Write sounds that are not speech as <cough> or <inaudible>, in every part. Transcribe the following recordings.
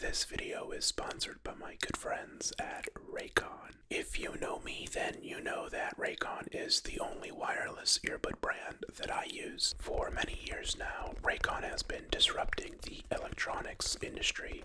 This video is sponsored by my good friends at Raycon. If you know me, then you know that Raycon is the only wireless earbud brand that I use. For many years now, Raycon has been disrupting the electronics industry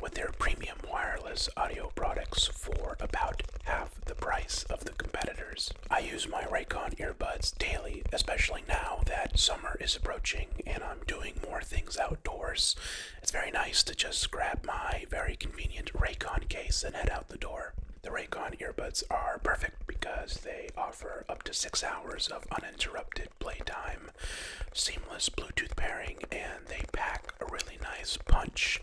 with their premium wireless audio products for about half the price of the competitors. I use my Raycon earbuds daily, especially now that summer is approaching and I'm doing more things outdoors. It's very nice to just grab my very convenient Raycon case and head out the door. The Raycon earbuds are perfect because they offer up to six hours of uninterrupted playtime, seamless Bluetooth pairing, and they pack a really nice punch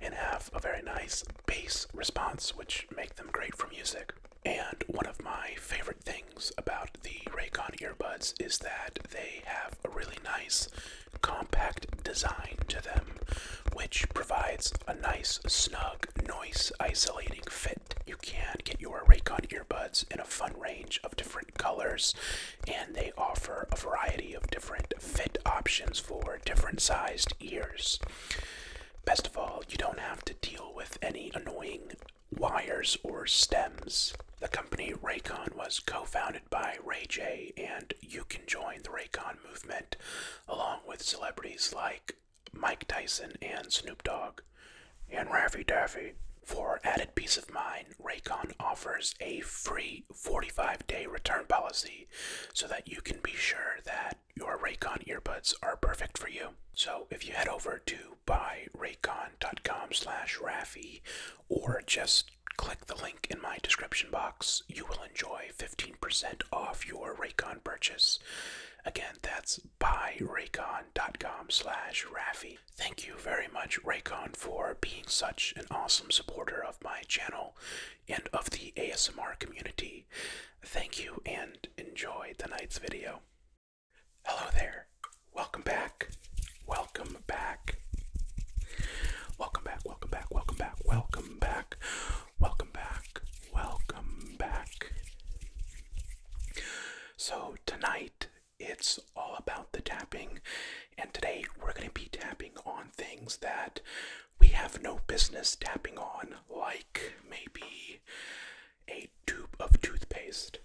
and have a very nice bass response, which make them great for music. And one of my favorite things about the Raycon earbuds is that they have a really nice compact design to them, which provides a nice, snug, noise isolating fit. You can get your Raycon earbuds in a fun range of different colors, and they offer a variety of different fit options for different sized ears. Best of all, you don't have to deal with any annoying wires or stems. The company Raycon was co founded by Ray J, and you can join the Raycon movement along with celebrities like Mike Tyson and Snoop Dogg and Raffy Daffy. For added peace of mind, Raycon offers a free 45 day return policy so that you can be sure that your Raycon earbuds are perfect for you. So if you head over to by raycon.com slash or just click the link in my description box. You will enjoy 15% off your Raycon purchase. Again, that's buyraycon.com slash Rafi. Thank you very much, Raycon, for being such an awesome supporter of my channel and of the ASMR community. Thank you and enjoy tonight's video. Hello there. Welcome back. Welcome back. Welcome back. Welcome back. Welcome back. Welcome back. Welcome back. So, tonight it's all about the tapping, and today we're going to be tapping on things that we have no business tapping on, like maybe a tube of toothpaste.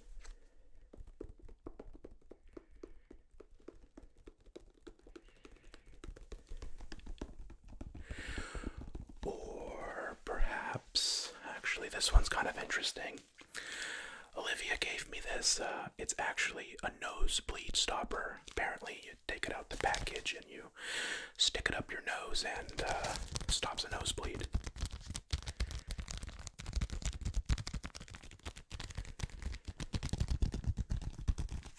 Or perhaps, actually, this one's kind of interesting. Olivia gave me this. Uh, it's actually a nosebleed stopper. Apparently, you take it out the package and you stick it up your nose and uh, stops a nosebleed.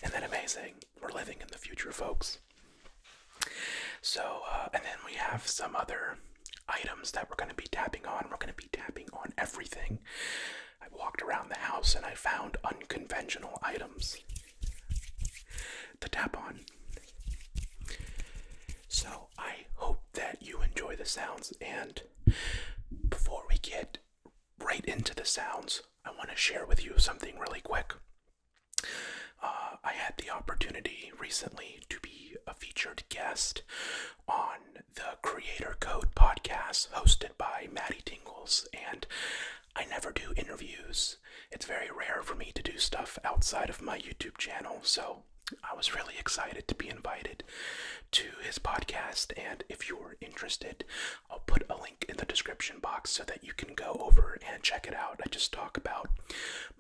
And then, amazing? We're living in the future, folks. So, uh, and then we have some other items that we're going to be tapping on. We're going to be tapping on everything. I walked around the house and I found unconventional items to tap on. So I hope that you enjoy the sounds. And before we get right into the sounds, I want to share with you something really quick. Uh, I had the opportunity recently to be a featured guest on the Creator Code podcast hosted by Maddie Tingles, and I never do interviews it's very rare for me to do stuff outside of my YouTube channel. So I was really excited to be invited to his podcast. And if you're interested, I'll put a link in the description box so that you can go over and check it out. I just talk about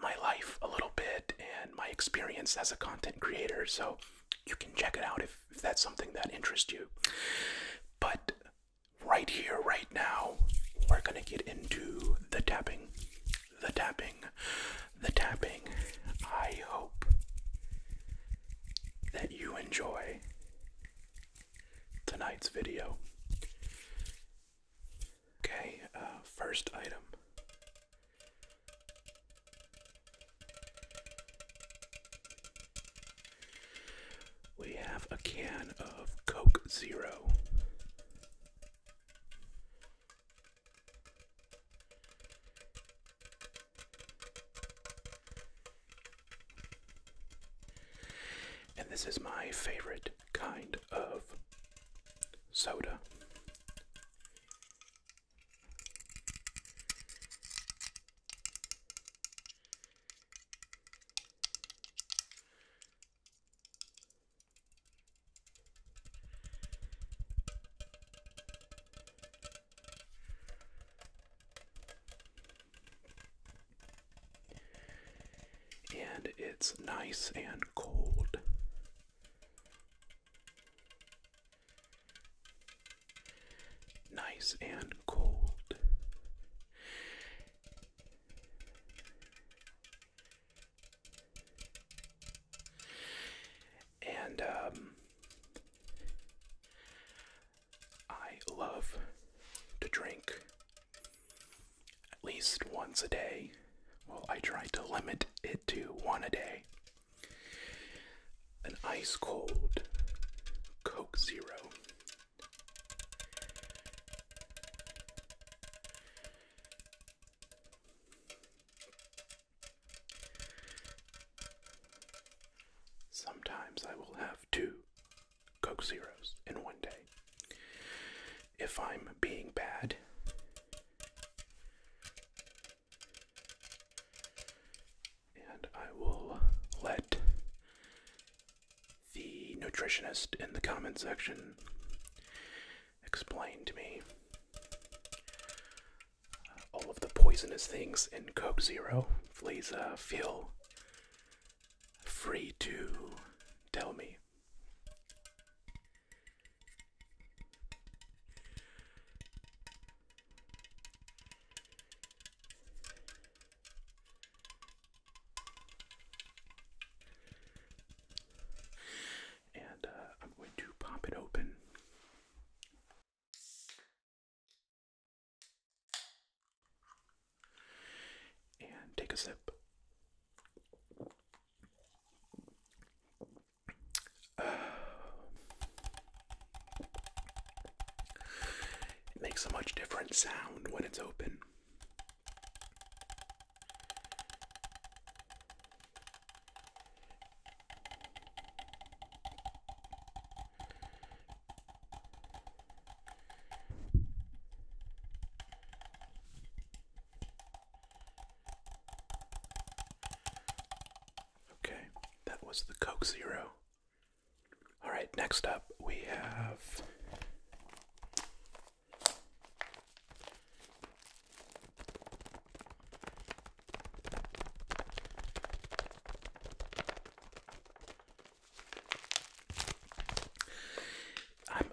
my life a little bit and my experience as a content creator. So you can check it out if, if that's something that interests you. But right here, right now, we're going to get into the tapping the tapping, the tapping. I hope that you enjoy tonight's video. Okay, uh, first item. We have a can of Coke Zero. And this is my favorite kind of soda. And it's nice and cold. Nice and cold. And um, I love to drink at least once a day. Well, I try to limit it to one a day. An ice cold Coke Zero. Sometimes I will have two Coke Zeros in one day. If I'm being bad, and I will let the nutritionist in the comment section explained to me all of the poisonous things in Coke Zero. Please uh, feel free to tell me. And uh, I'm going to pop it open. And take a sip. <sighs> it makes a much different sound when it's open. Okay, that was the Coke Zero. All right, next up we have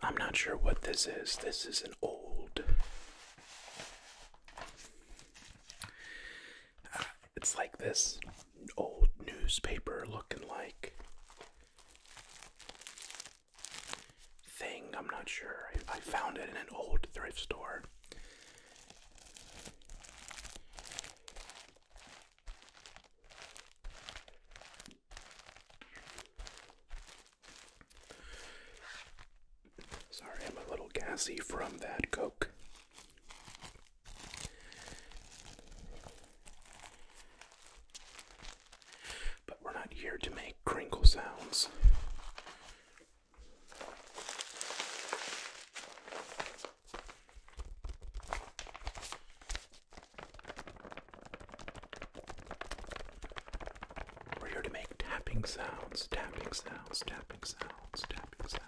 I'm, not sure what this is. This is an old. Uh, it's like this old newspaper looking like thing. I'm not sure. I, found it in an old thrift store. Sorry, I'm a little gassy from that Coke but we're not here to make crinkle sounds. We're here to make tapping sounds, tapping sounds, tapping sounds, tapping sounds.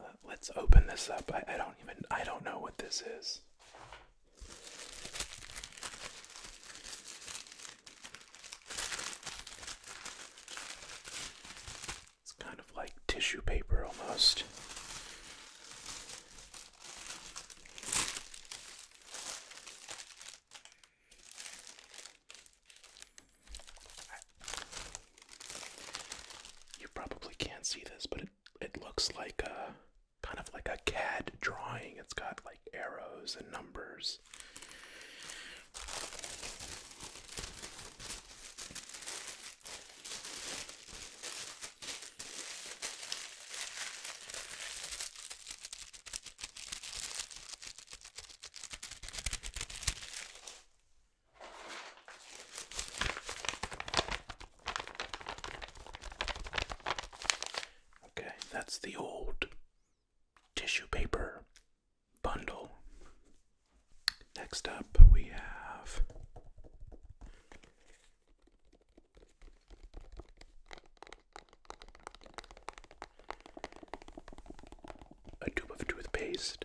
Uh, let's open this up. I don't even I don't know what this is. It's kind of like tissue paper almost. You probably can't see this, but it it looks like a kind of like a CAD drawing. It's got like arrows and numbers. Okay, that's the old tissue paper bundle. Next up, we have a tube of toothpaste.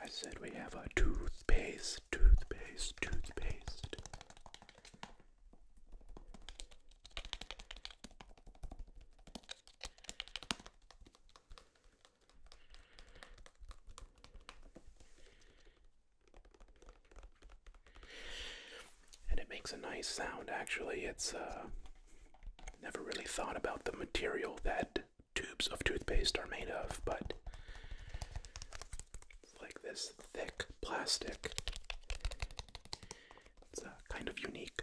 I said we have a toothpaste, toothpaste, toothpaste. And it makes a nice sound actually. It's uh, never really thought about the material that tubes of toothpaste are made of, but it's like this thick plastic. It's uh, kind of unique.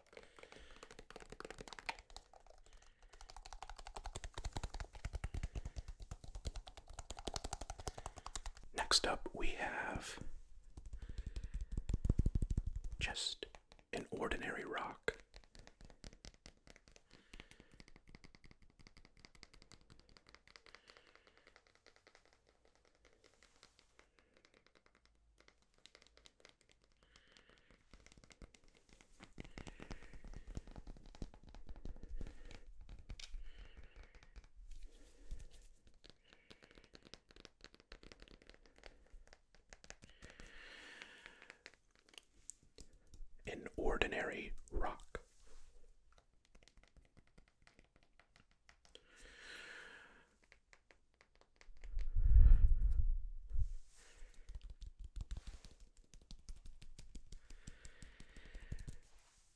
Next up, we have just an ordinary rock. An ordinary rock.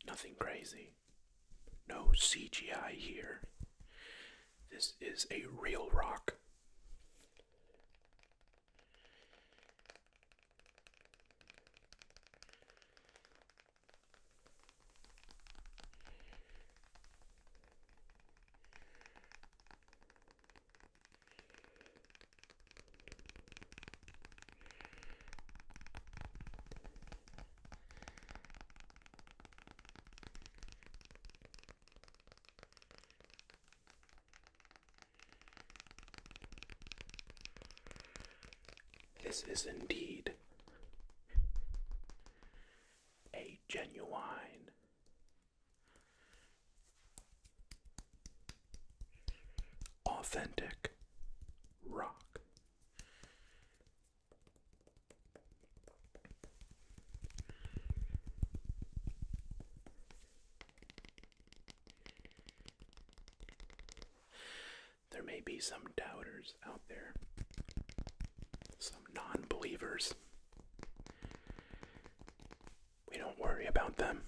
Nothing crazy. No CGI here. This is a real rock. This is indeed a genuine Authentic rock. There may be some doubters out there, some non believers we don't worry about them.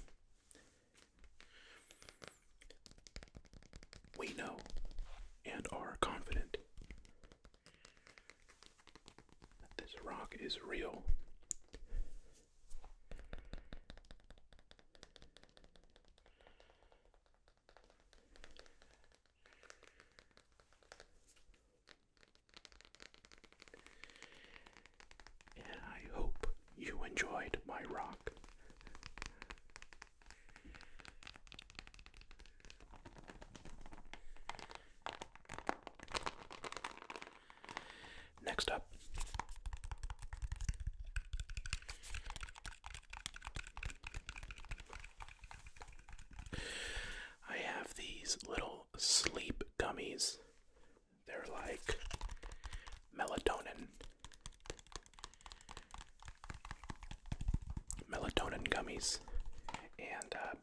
We know and are confident that this rock is real. I hope you enjoyed my rock. Next up. I have these little sleep gummies they're like melatonin. Melatonin gummies. And uh,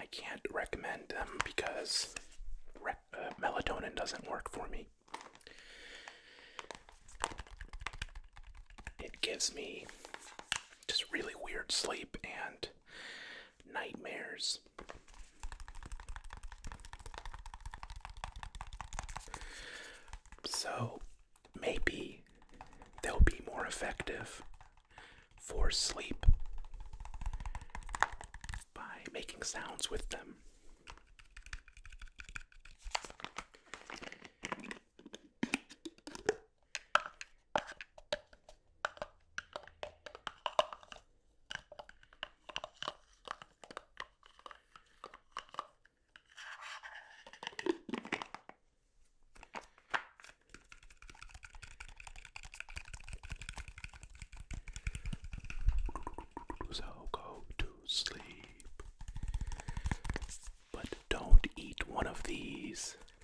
I can't recommend them because uh, melatonin doesn't work for me. It gives me just really weird sleep and nightmares so maybe they'll be more effective for sleep by making sounds with them. So go to sleep. But don't eat one of these.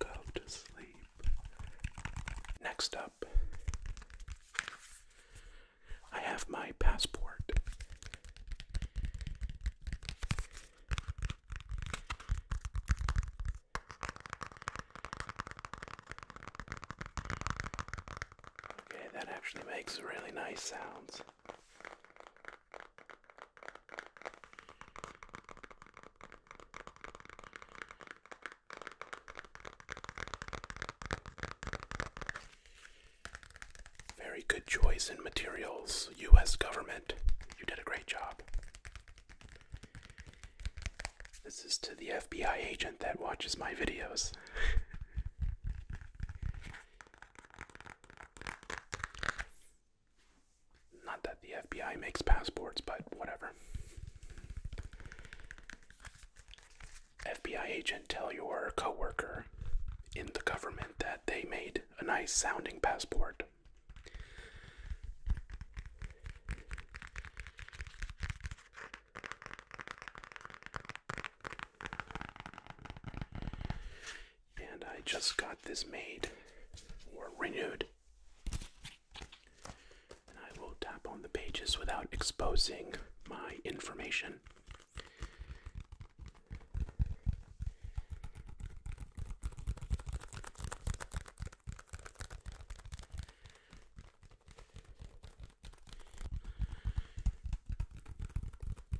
Go to sleep. Next up, I have my passport. Okay, that actually makes really nice sounds. Very good choice in materials, US government. You did a great job. This is to the FBI agent that watches my videos. Not that the FBI makes passports, but whatever. FBI agent, tell your coworker in the government that they made a nice sounding passport. And I just got this made or renewed. And I will tap on the pages without exposing my information.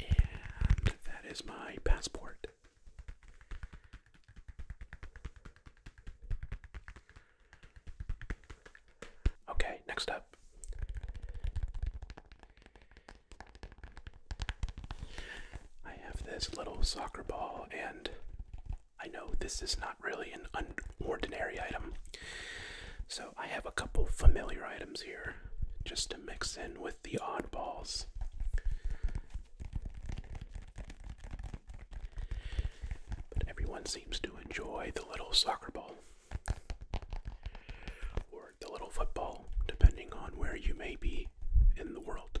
And that is my passport. Okay, next up. I have this little soccer ball, and I know this is not really an ordinary item, so I have a couple familiar items here just to mix in with the oddballs. But everyone seems to enjoy the little soccer ball or the little football, depending on where you may be in the world.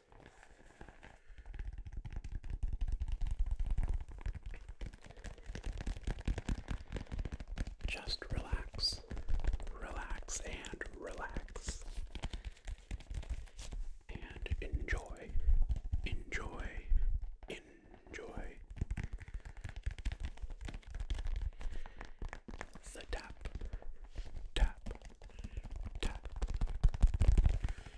Just relax, relax, and relax. And enjoy, enjoy, enjoy the tap, tap, tap,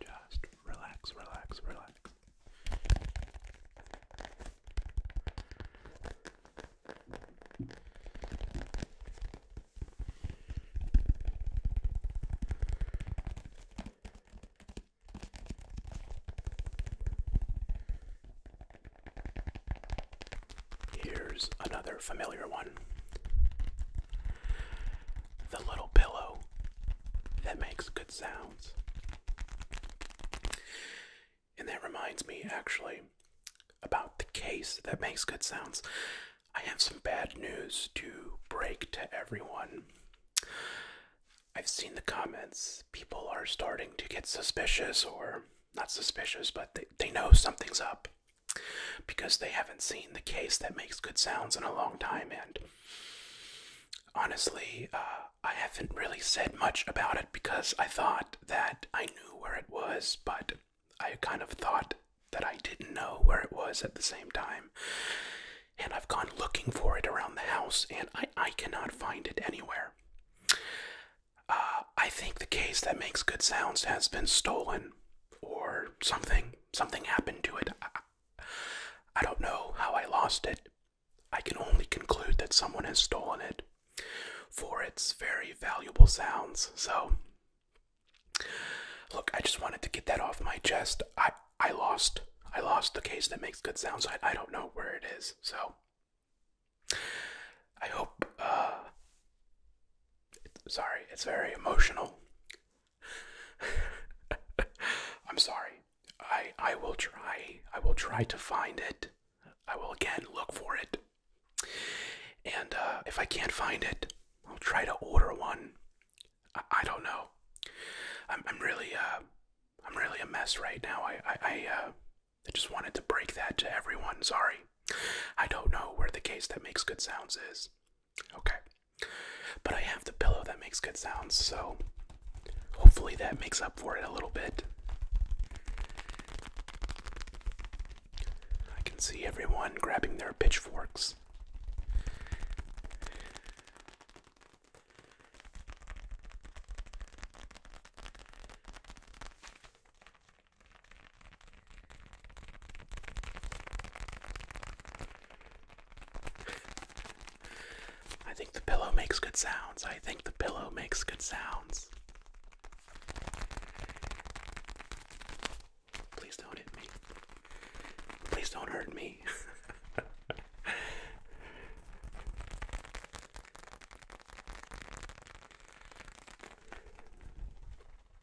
Just relax, relax, relax. Here's another familiar one. The little pillow that makes good sounds. And that reminds me, actually, about the case that makes good sounds. I have some bad news to break to everyone. I've seen the comments. People are starting to get suspicious, or not suspicious, but they, they know something's up because they haven't seen the case that makes good sounds in a long time. And Honestly, uh, I haven't really said much about it because I thought that I knew where it was, but I kind of thought that I didn't know where it was at the same time. And I've gone looking for it around the house and I, I cannot find it anywhere. Uh, I think the case that makes good sounds has been stolen or something. Something happened to it. I don't know how I lost it. I can only conclude that someone has stolen it for its very valuable sounds. So, look, I just wanted to get that off my chest. I I lost I lost the case that makes good sounds. I I don't know where it is. So, I hope. uh Sorry, it's very emotional. <laughs> I'm sorry. I I will try. I will try to find it. I will again look for it. And uh, if I can't find it, I'll try to order one. I, I don't know. I'm I'm really uh I'm really a mess right now. I, I uh I just wanted to break that to everyone. Sorry. I don't know where the case that makes good sounds is. Okay. But I have the pillow that makes good sounds, so hopefully that makes up for it a little bit. I can see everyone grabbing their pitchforks. I think the pillow makes good sounds. I think the pillow makes good sounds. Please don't hit me. Please don't hurt me.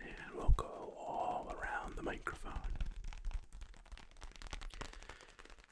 And we'll go all around the microphone.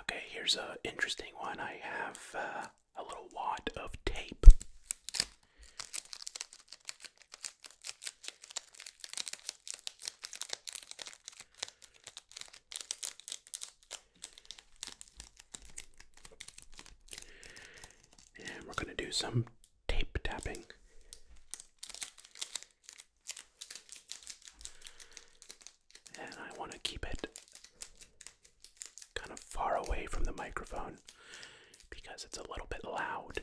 Okay, here's an interesting one. I have uh, a little wad of tape. And we're going to do some tape tapping. And I want to keep it kind of far away from the microphone because it's a little bit loud.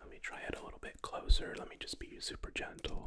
Let me try it a little bit closer. Let me just be super gentle.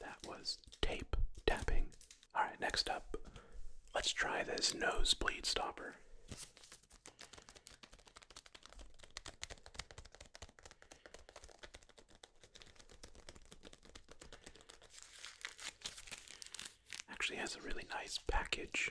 That was tape tapping. Alright, next up, let's try this nosebleed stopper. Actually has a really nice package.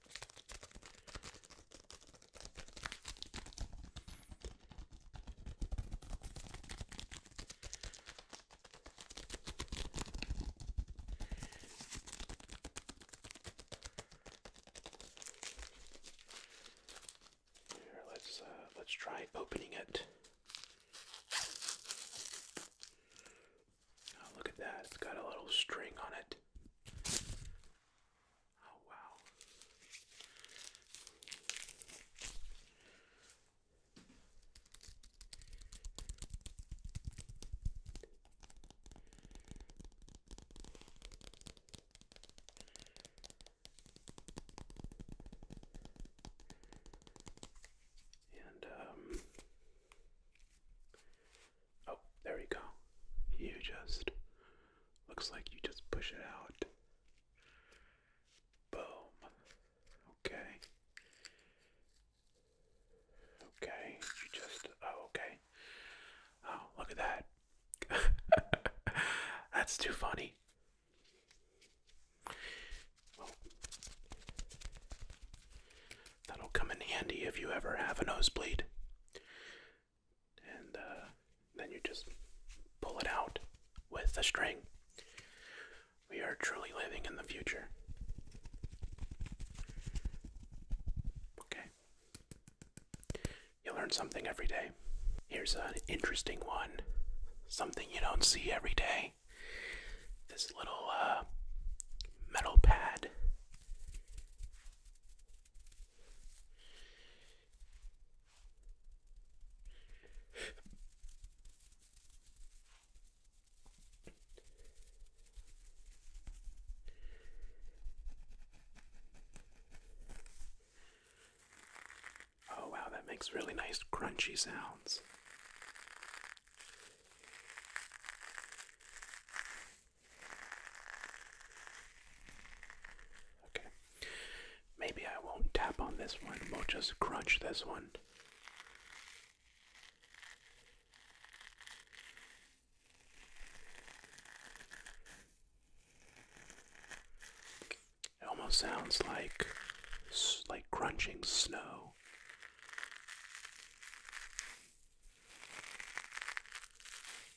let's uh, let's try opening it. Oh, look at that! It's got a little string on it. Oh, wow. And um Oh, there you go. You just looks like you just push it out. Boom. Okay. Okay, you just oh okay. Oh, look at that. <laughs> That's too funny. that'll come in handy if you ever have a nosebleed and uh, then you just pull it out with the string. We are truly living in the future. Okay. You learn something every day. Here's an interesting one something you don't see every day. This little uh, metal pad Oh, wow, that makes really nice crunchy sounds. Okay. Maybe I won't tap on this one. We'll just crunch this one. It almost sounds like like crunching snow.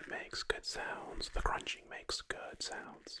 It makes good sounds. The crunching makes good sounds.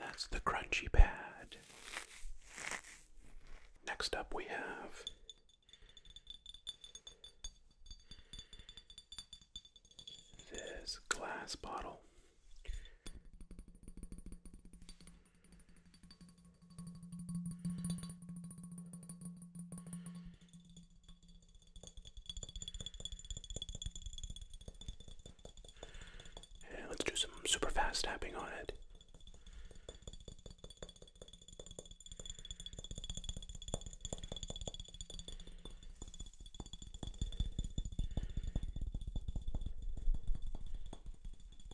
That's the crunchy pad. Next up, we have this glass bottle. And let's do some super fast tapping on it.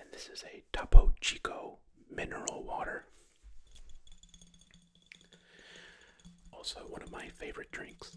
And this is a Topo Chico mineral water. Also, one of my favorite drinks.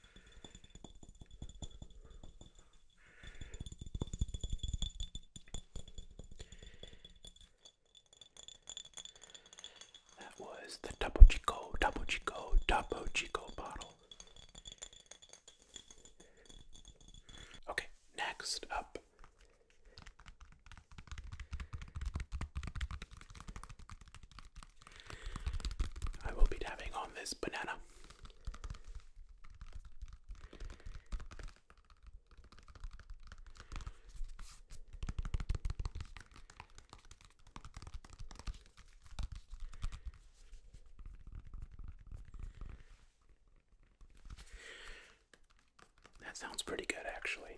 That was the Topo Chico, Topo Chico, Topo Chico bottle. Okay, next up. I will be dabbing on this banana. That sounds pretty good, actually.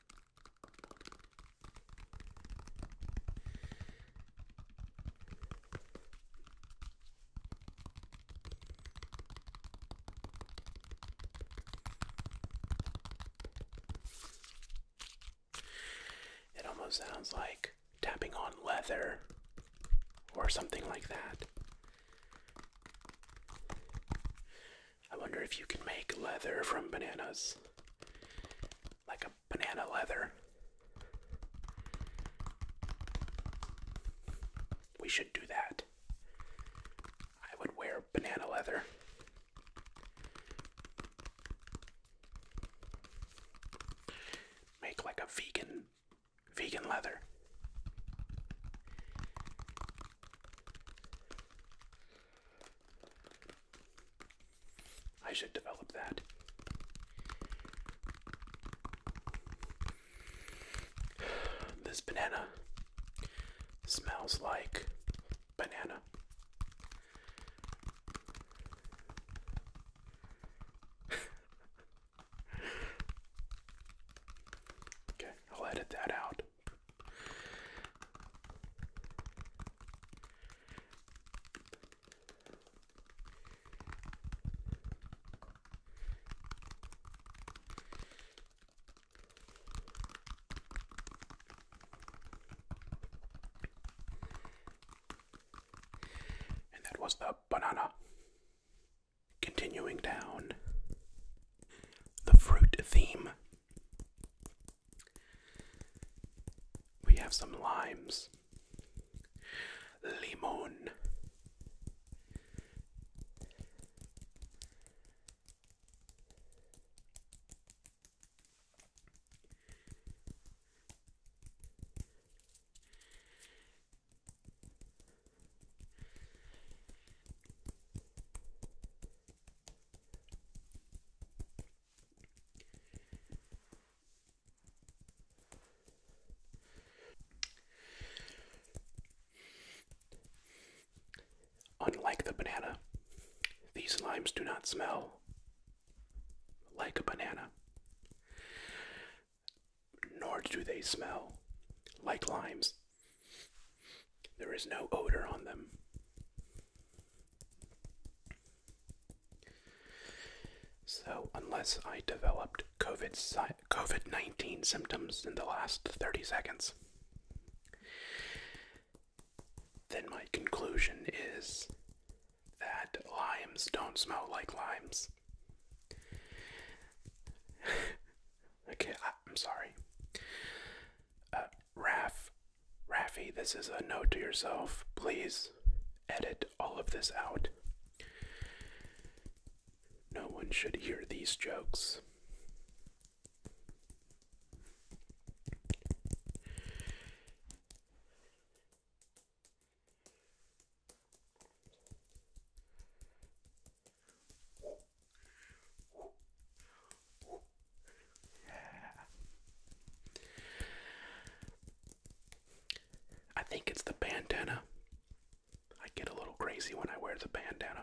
It almost sounds like tapping on leather or something like that. I wonder if you can make leather from bananas. Like a banana leather. We should do that. I would wear banana leather. Make like a vegan vegan leather. I should develop that. This banana smells like banana. <laughs> okay, I'll edit that out. And that was the banana. Continuing down the fruit theme we have some limes. Limon. Unlike the banana, these limes do not smell like a banana, nor do they smell like limes. There is no odor on them. So, unless I developed COVID, COVID 19 symptoms in the last 30 seconds, then my conclusion is that limes don't smell like limes. <laughs> okay, I, am sorry. Uh, Raf, Raffy, this is a note to yourself. Please edit all of this out. No one should hear these jokes. I think it's the bandana. I get a little crazy when I wear the bandana.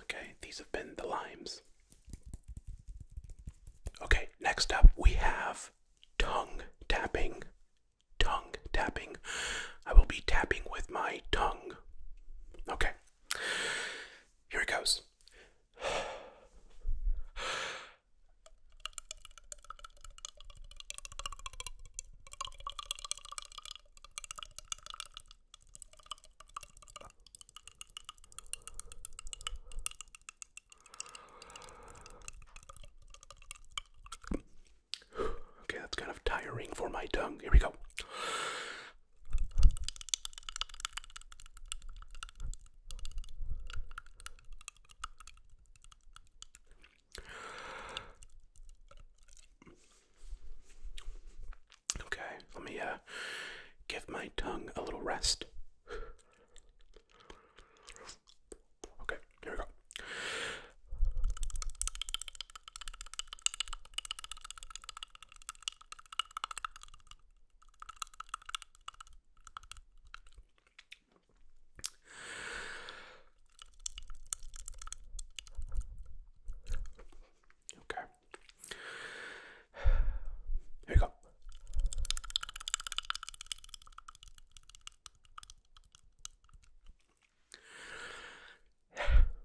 Okay, these have been the limes. Okay, next up we have tongue tapping. Tongue tapping. I will be tapping with my tongue. Okay, here it goes. Okay, that's kind of tiring for my tongue. Here we go. Okay, let me uh, give my tongue a little rest. Okay, here we go. Okay. Here we go.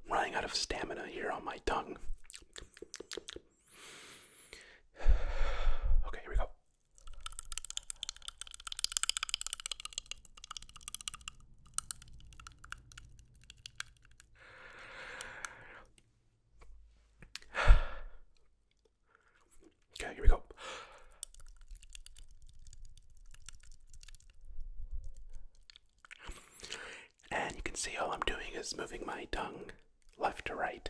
I'm running out of stamina here on my tongue. Okay, here we go. Okay, here we go. And you can see all I'm doing is moving my tongue left to right.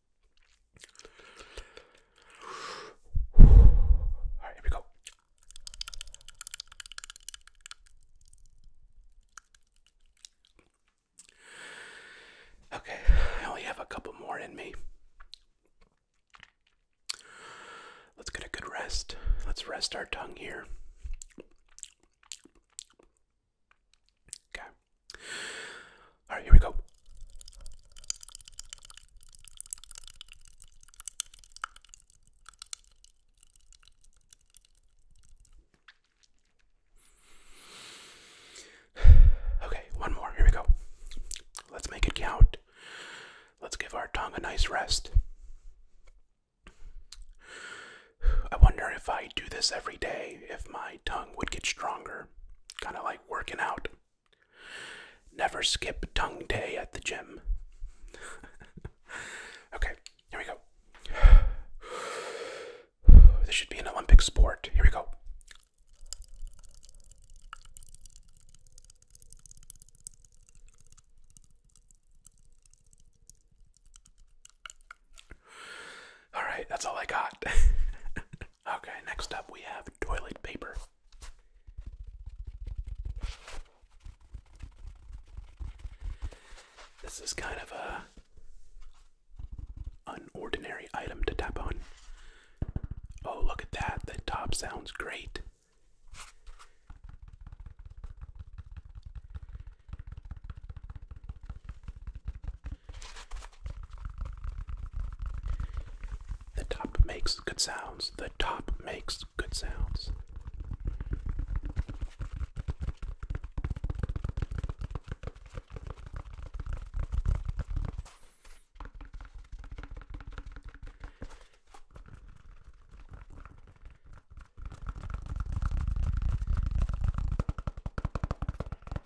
Alright, here we go. Okay, I only have a couple more in me. Let's get a good rest. Let's rest our tongue here. Okay. All right, here we go. <sighs> Okay, one more. Here we go. Let's make it count. Let's give our tongue a nice rest. I wonder if I do this every day, if my tongue would get stronger. Kind of like working out. Never skip tongue day at the gym. <laughs> okay, here we go. <sighs> This should be an Olympic sport. Here we go. All right, that's all I got. <laughs> okay, next up we have toilet paper. This is kind of a an ordinary item to tap on. Oh, look at that. The top sounds great. The top makes good sounds. The top makes good sounds.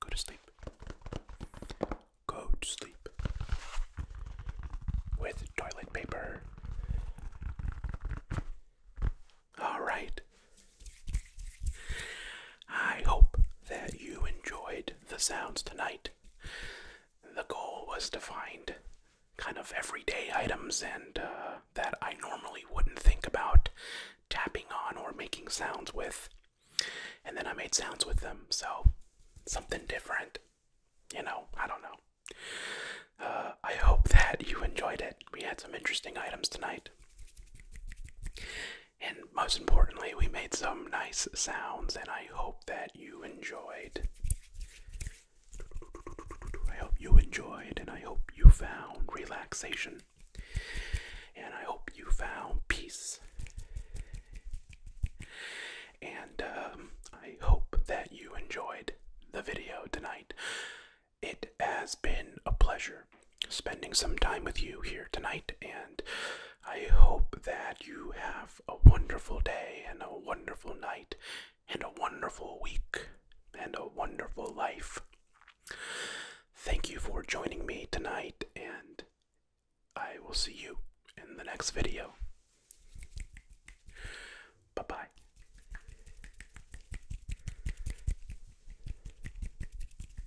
Go to sleep. Go to sleep with toilet paper. All right. I hope that you enjoyed the sounds tonight. The goal was to find kind of everyday items and uh, that I normally wouldn't think about tapping on or making sounds with. And then I made sounds with them, so something different. You know, I don't know. Uh, I hope that you enjoyed it. We had some interesting items tonight. And most importantly, we made some nice sounds, and I hope that you enjoyed. I hope you enjoyed, and I hope you found relaxation, and I hope you found peace. And um, I hope that you enjoyed the video tonight. It has been a pleasure spending some time with you here tonight, and I hope that you have a wonderful day and a wonderful night and a wonderful week and a wonderful life. Thank you for joining me tonight, and I will see you in the next video. Bye bye.